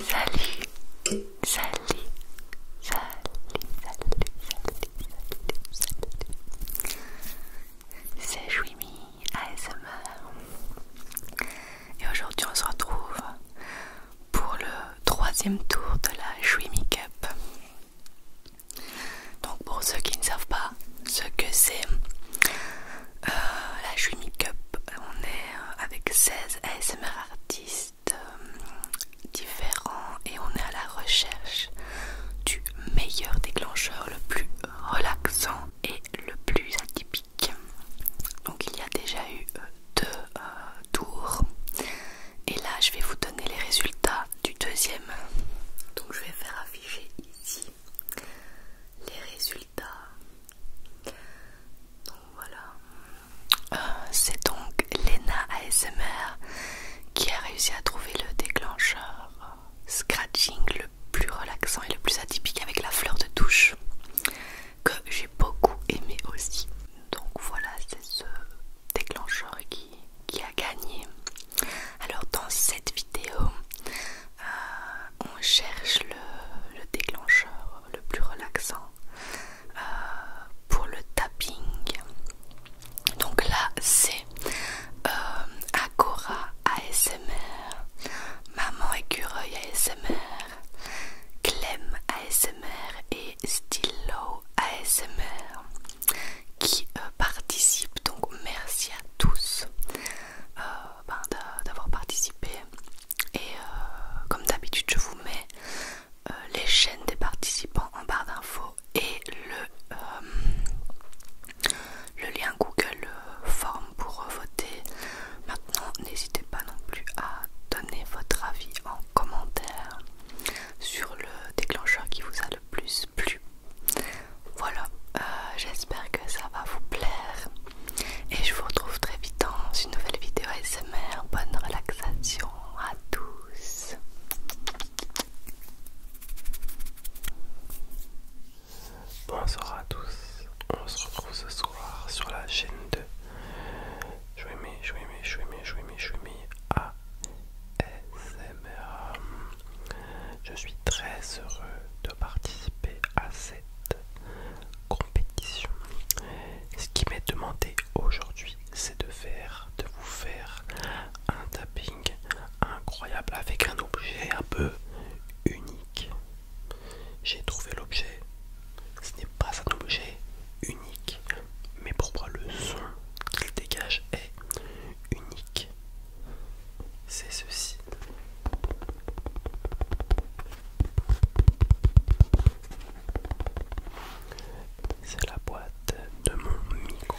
Salut, salut, salut, salut, salut, salut, salut. C'est Jouimi ASMR. Et aujourd'hui on se retrouve pour le troisième tour de la Shrimi Cup. Donc pour ceux qui ne savent pas ce que c'est, euh, la Shrimi Cup, on est euh, avec 16 ASMR artistes euh, différents et on est à la recherche du meilleur déclencheur, le plus relaxant et le plus atypique. Donc il y a déjà eu deux tours et là, je vais vous donner les résultats du deuxième. Donc, je vais faire afficher ici les résultats. Donc voilà. Euh, c'est donc Lena ASMR qui a réussi à trouver le déclencheur scratching le plus relaxant et le plus atypique avec la fleur de touche que j'ai beaucoup aimé aussi. Donc voilà, c'est ce déclencheur qui, qui a gagné. Alors dans cette vidéo, euh, on cherche le, déclencheur le plus relaxant euh, pour le tapping. Donc là, c'est euh, Agora ASMR, Maman Écureuil ASMR, Clem ASMR et Still ASMR qui euh, participe Donc merci à tous euh, ben, d'avoir participé. Et euh, comme d'habitude, je vous mets les chaînes des participants en barre d'infos et le, le lien Google Form pour voter. Maintenant, n'hésitez pas non plus à donner votre avis en commentaire sur le déclencheur qui vous a le plus plu. Voilà, euh, j'espère que ça va vous plaire et je vous retrouve très vite dans une nouvelle vidéo ASMR. Bonne relaxation à tous. Bonsoir à tous, on se retrouve ce soir sur la chaîne de vais aimer, je vais à ASMR. Je suis très heureux de participer à cette compétition. Ce qui m'est demandé aujourd'hui, c'est de faire, de vous faire un tapping incroyable avec un objet un peu unique. J'ai trouvé l'objet ce n'est pas un objet unique, mais pour le son qu'il dégage est unique. C'est ceci. C'est la boîte de mon micro.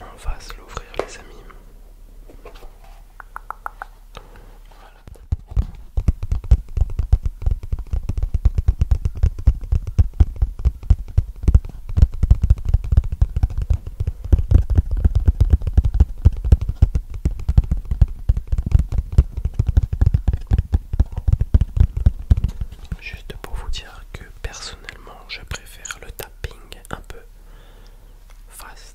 On va se l'ouvrir les amis. Juste pour vous dire que personnellement je préfère le tapping un peu fast.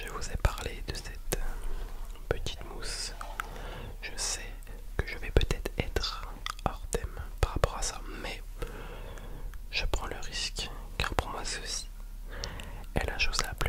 Je vous ai parlé de cette euh, petite mousse. Je sais que je vais peut-être être hors thème par rapport à ça, mais je prends le risque car pour moi ceci est la chose la plus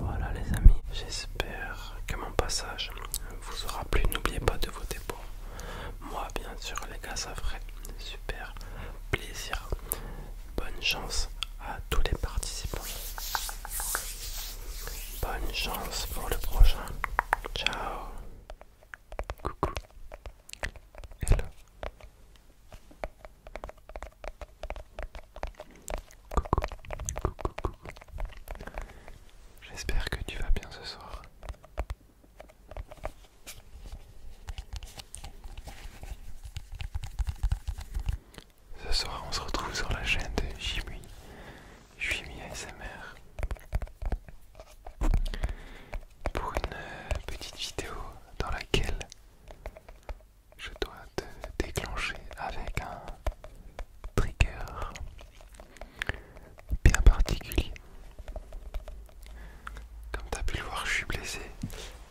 Voilà les amis, j'espère que mon passage vous aura plu. N'oubliez pas de voter pour moi bien sûr les gars, ça ferait super plaisir. Bonne chance à tous les participants. Bonne chance pour le prochain. Ciao. Coucou. Hello. Coucou. Coucou, coucou. J'espère que tu vas bien ce soir. Ce soir, on se retrouve sur la chaîne de Jimmy je suis mis ASMR pour une euh, petite vidéo dans laquelle je dois te déclencher avec un trigger bien particulier. Comme tu as pu le voir, je suis blessé.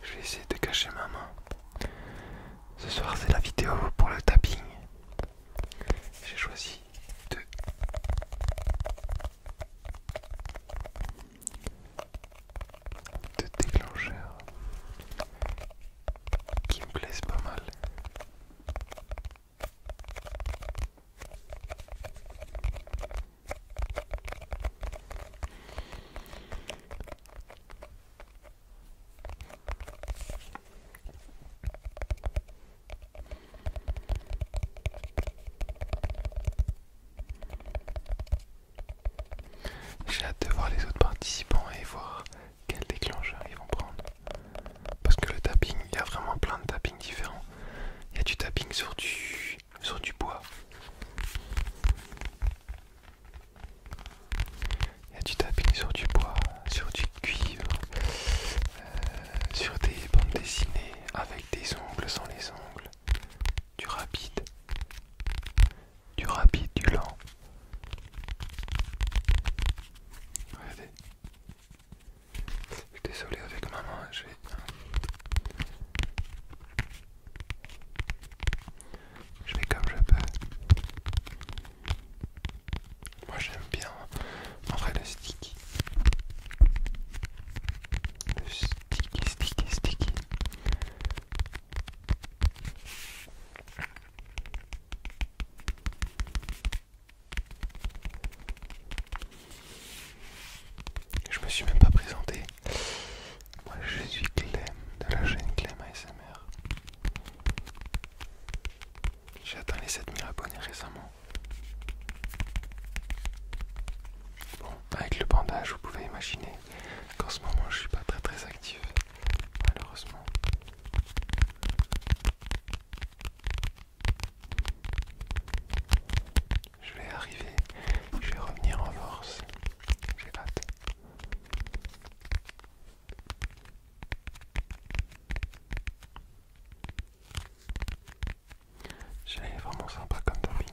Je vais essayer de cacher ma main. Ce soir, c'est la vidéo pour le tapping. J'ai choisi deux de déclencheurs qui me plaisent pas mal. J'ai hâte de voir les autres participants et voir quel déclencheur ils vont prendre. Parce que le tapping, il y a vraiment plein de tappings différents. Il y a du tapping sur du, sur du bois. Il y a du tapis sur du bois, sur du cuivre, euh, sur des bandes dessinées avec des ongles sans les ongles, du rapide, du rapide, du lent. Regardez. Je suis désolé avec ma je vais... Je comme je peux. Moi j'aime bien en vrai le sticky. Le sticky, sticky, sticky. Je me suis même pas présenté. Moi je suis Clem de la chaîne Clem ASMR. J'ai atteint les 7000 abonnés récemment. Bon, avec le bandage, vous pouvez imaginer qu'en ce moment je suis pas très très actif, malheureusement. Je vais arriver, je vais revenir en force. J'ai hâte. C'est vraiment sympa comme topping.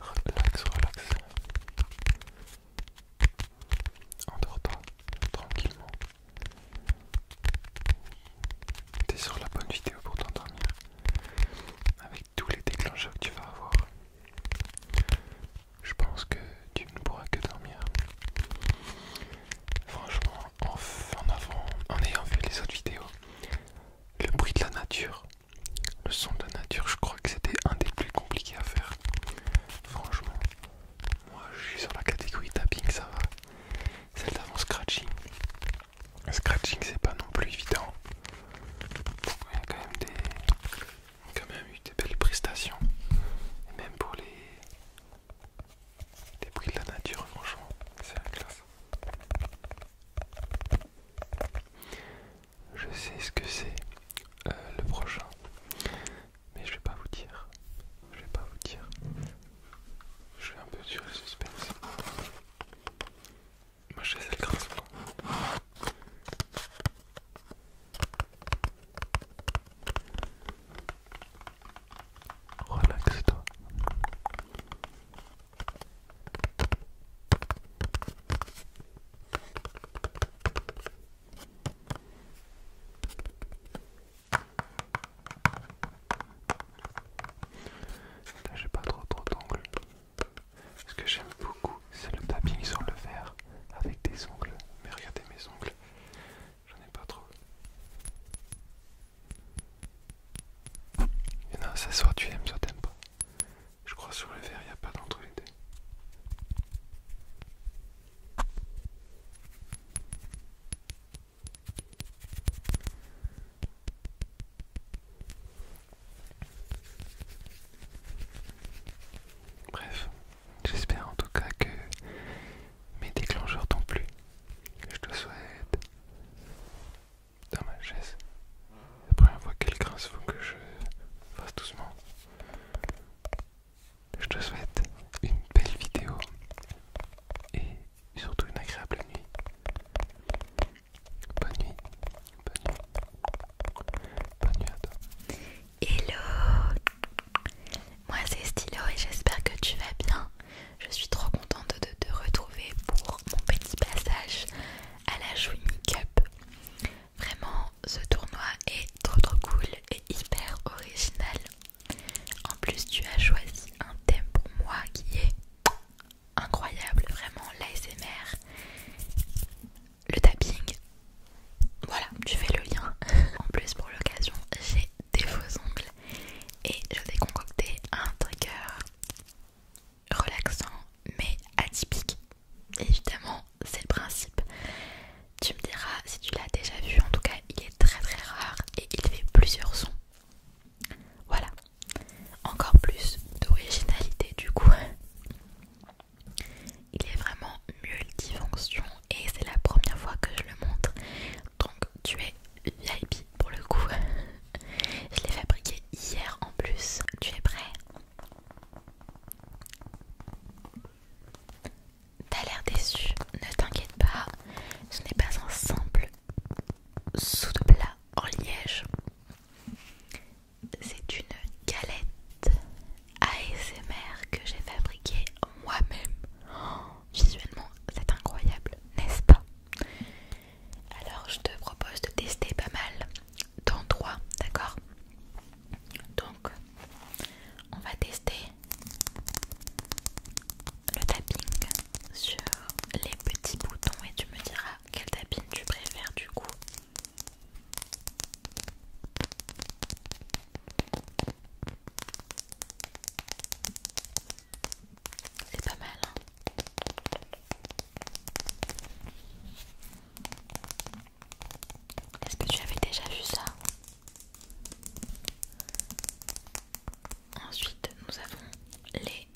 Relax, relax. Endors-toi tranquillement. T'es sur la bonne vidéo pour t'endormir. Avec tous les déclencheurs que tu vas avoir. Je pense que tu ne pourras que dormir. Franchement, en, avant, en ayant vu les autres vidéos, le bruit de la nature, le son de la nature, je crois que c'était un des plus compliqués à faire. Franchement, moi je suis sur la catégorie tapping, ça va. Celle d'avant, scratching. Scratching, c'est pas non plus évident. Il a quand même, eu des belles prestations. même pour les des bruits de la nature, franchement, c'est la classe. Je sais ce que c'est euh, le prochain, mais je vais pas vous dire. Je vais pas vous dire. Je vais un peu sur le suspense. Moi je sais le grâce. Relaxe-toi. j'ai pas trop trop d'ongles. Ce que j'aime beaucoup c'est le tapis sur le verre avec des ongles. Mais regardez mes ongles. J'en ai pas trop. Il y soit tu aimes, soit t'aimes pas. Je crois sur le verre, il a pas d'entre les deux. Bref, j'espère en tout cas que mes déclencheurs non plus. Je te souhaite dans ma chaise. La première fois qu'elle grince, faut que je fasse doucement. Je te souhaite une belle vidéo et surtout une agréable nuit. Bonne nuit, bonne nuit, bonne nuit à toi. Hello, moi c'est Stylo et j'espère que tu vas bien. Je suis trop contente de te retrouver pour mon petit passage à la Jouy Cup. Vraiment, ce tournoi est trop trop cool et hyper original. En plus, tu as choisi un thème pour moi qui est incroyable, vraiment l'ASMR, le tapping. Voilà, tu fais le lien. En plus, pour l'occasion, j'ai des faux ongles et je vais concocter un trigger relaxant mais atypique. Évidemment, c'est le principe. Tu me diras si tu l'as déjà vu, en tout cas il est très très rare et il fait plusieurs sons. Voilà, encore plus d'originalité du coup. Il est vraiment multifonction et c'est la première fois que je le montre donc tu es VIP pour le coup je l'ai fabriqué hier en plus tu es prêt t'as l'air déçu ne t'inquiète pas ce n'est pas un simple sous de plat en liège c'est une galette ASMR que j'ai fabriquée moi-même. Oh Visuellement, c'est incroyable, n'est-ce pas Alors, je te propose de tester pas mal d'endroits, d'accord Donc, on va tester le tapping sur les petits boutons et tu me diras quel tapping tu préfères du coup. C'est pas mal. Hein. Est-ce que tu avais déjà vu ça Ensuite, nous avons les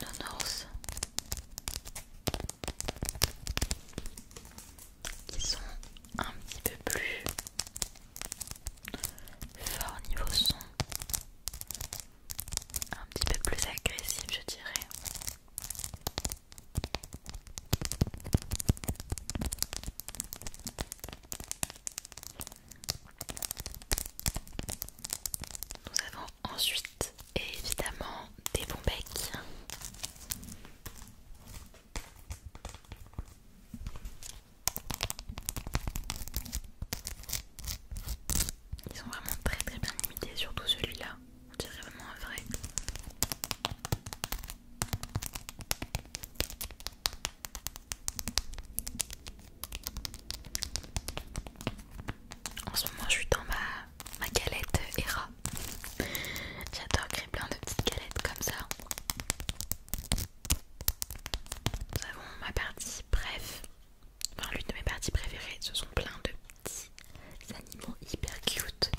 nonos qui sont un petit peu plus Fort niveau son, un petit peu plus agressif, je dirais. Nous avons ensuite évidemment des bons becs. Ils sont vraiment très très bien imités, surtout celui-là. On dirait vraiment un vrai. En ce moment, je suis dans ma, ma galette Hera. J'adore créer plein de petites galettes comme ça. Nous avons ma partie bref, enfin l'une de mes parties préférées, ce sont plein de petits animaux hyper cute.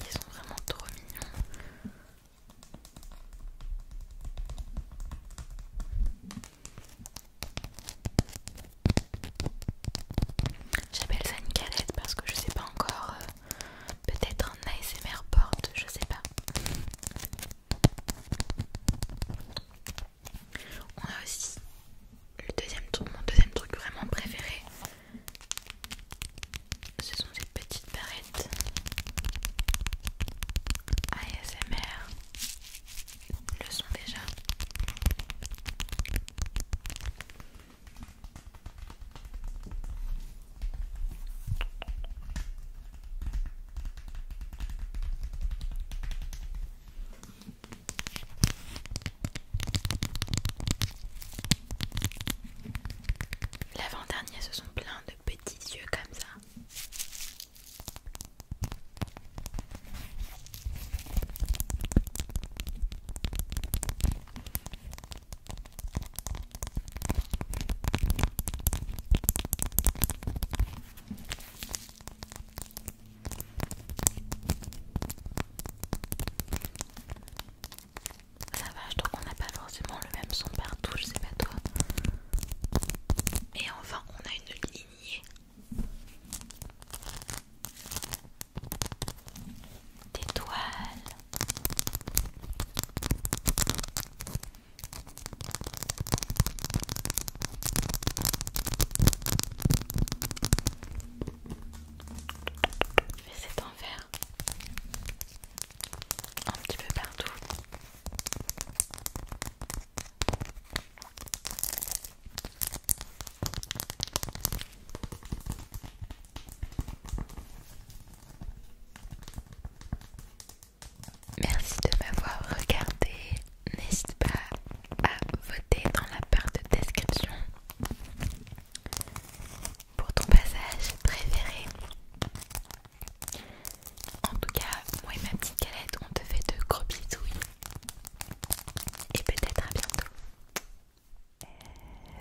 Ils sont vraiment trop mignons. J'appelle ça une galette parce que je sais pas encore. Euh, peut-être un ASMR porte, je sais pas. On a aussi le deuxième truc, mon deuxième truc vraiment préféré. Ce sont ces petites barrettes ASMR. Le sont déjà. L'avant-dernier, ce sont plein de petits yeux comme ça. Ça va, je trouve qu'on n'a pas forcément le même son partout, je sais pas toi. Et enfin, on a une lignée des toiles. Je vais essayer d'en faire un petit peu partout. Merci de m'avoir regardé. N'hésite pas à voter dans la barre de description pour ton passage préféré. En tout cas, moi et ma petite galette, on te fait de gros bisous. Et peut-être à bientôt.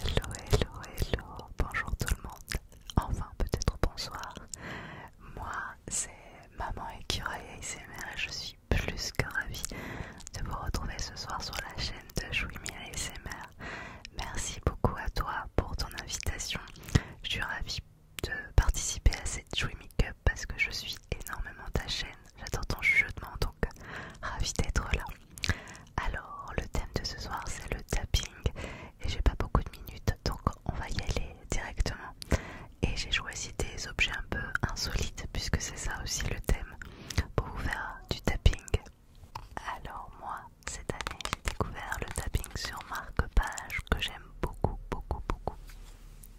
Hello, hello, hello, bonjour tout le monde, enfin peut-être bonsoir. Moi c'est Maman Écureuil ASMR et je suis plus que ravie de vous retrouver ce soir sur la chaîne de Jouimi ASMR. Merci beaucoup à toi pour ton invitation. Je suis ravie de participer à cette Make Cup parce que je suis énormément ta chaîne. j'attends ton jeu de donc d'être là. Alors, le thème de ce soir c'est le tapping et j'ai pas beaucoup de minutes donc on va y aller directement. Et j'ai choisi des objets un peu insolites puisque c'est ça aussi le thème pour vous faire du tapping. Alors, moi cette année j'ai découvert le tapping sur marque-page que j'aime beaucoup, beaucoup, beaucoup.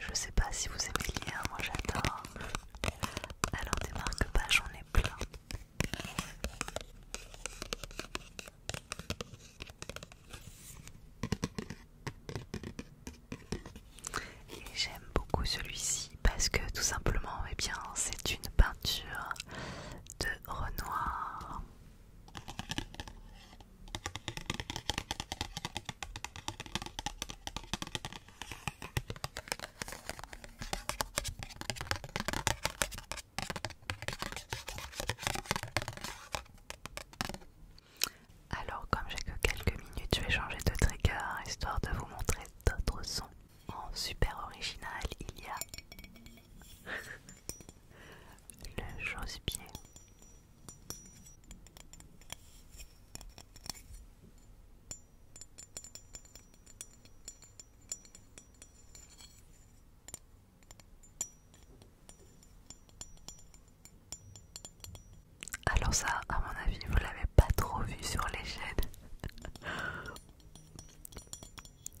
Je sais pas si vous aimez bien moi j'adore. Alors des marque-pages, j'en ai plein. Et j'aime beaucoup celui-ci parce que tout simplement, eh bien, c'est une peinture de Renoir. Alors comme j'ai que quelques minutes, je vais changer de trigger histoire de vous montrer d'autres sons. En super original, il y a le alors ça, à mon avis, vous l'avez pas trop vu sur les chaînes.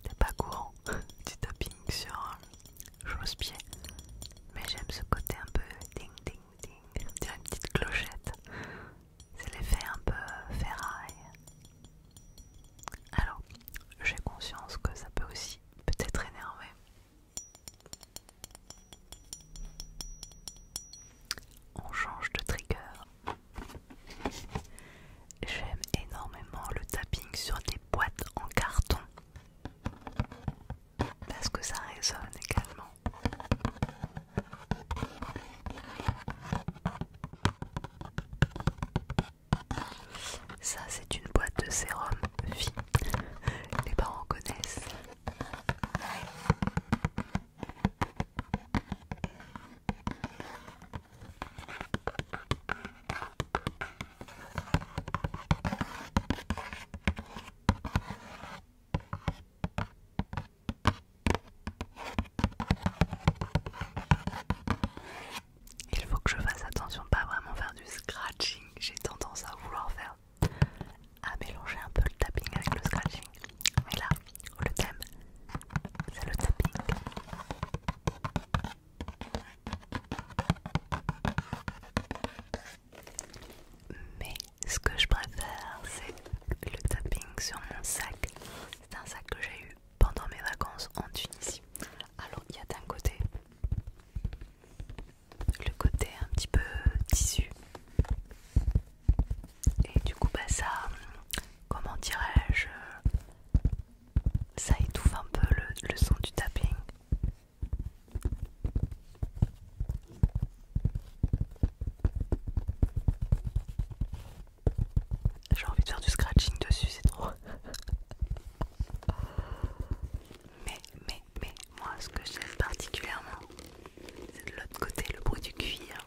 C'est pas courant du tapping sur euh, chausse-pied. Mais j'aime ce côté un peu ding ding une petite clochette. C'est l'effet un peu ferraille. Alors, j'ai conscience que ça peut aussi peut-être énerver. On change de trigger. J'aime énormément le tapping sur des boîtes en carton parce que ça résonne également. Ça, c'est une boîte de sérum vie. Les parents connaissent. Il faut que je fasse attention pas vraiment faire du scratching. J'ai tendance à vouloir faire à mélanger un peu le tapping avec le scratching. Mais là, le thème, c'est le tapping. Mais ce que je préfère, c'est le tapping sur mon sac. C'est un sac que j'ai eu pendant mes vacances en Tunisie. Alors, il y a d'un côté le côté un petit peu tissu. Et du coup, bah, ça, comment dirais-je, ça étouffe un peu le, le son du tapping. J'ai envie de faire du scratching dessus, c'est trop. mais, mais, mais, moi ce que j'aime particulièrement, c'est de l'autre côté le bruit du cuir.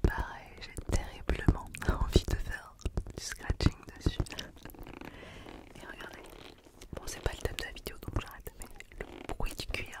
Pareil, j'ai terriblement envie de faire du scratching dessus. Et regardez, bon, c'est pas le thème de la vidéo donc j'arrête, mais le bruit du cuir.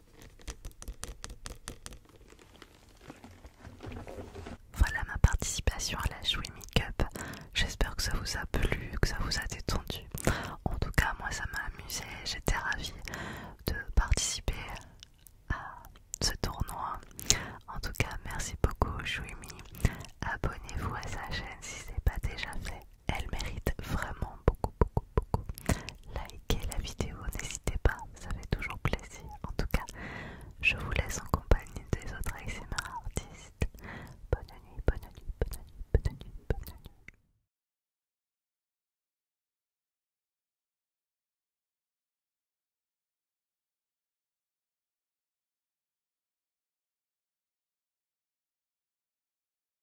Voilà ma participation à la Chouimi Cup. J'espère que ça vous a plu, que ça vous a détendu. En tout cas, moi ça m'a amusé. J'étais ravie de participer à ce tournoi. En tout cas, merci beaucoup Chouimi. Abonnez-vous à sa chaîne si ce n'est pas déjà fait. Elle mérite vraiment beaucoup, beaucoup, beaucoup. Likez la vidéo, n'hésitez pas, ça fait toujours plaisir. En tout cas, je vous laisse en compagnie des autres ASMR artistes. Bonne nuit, bonne nuit, bonne nuit, bonne nuit, bonne nuit.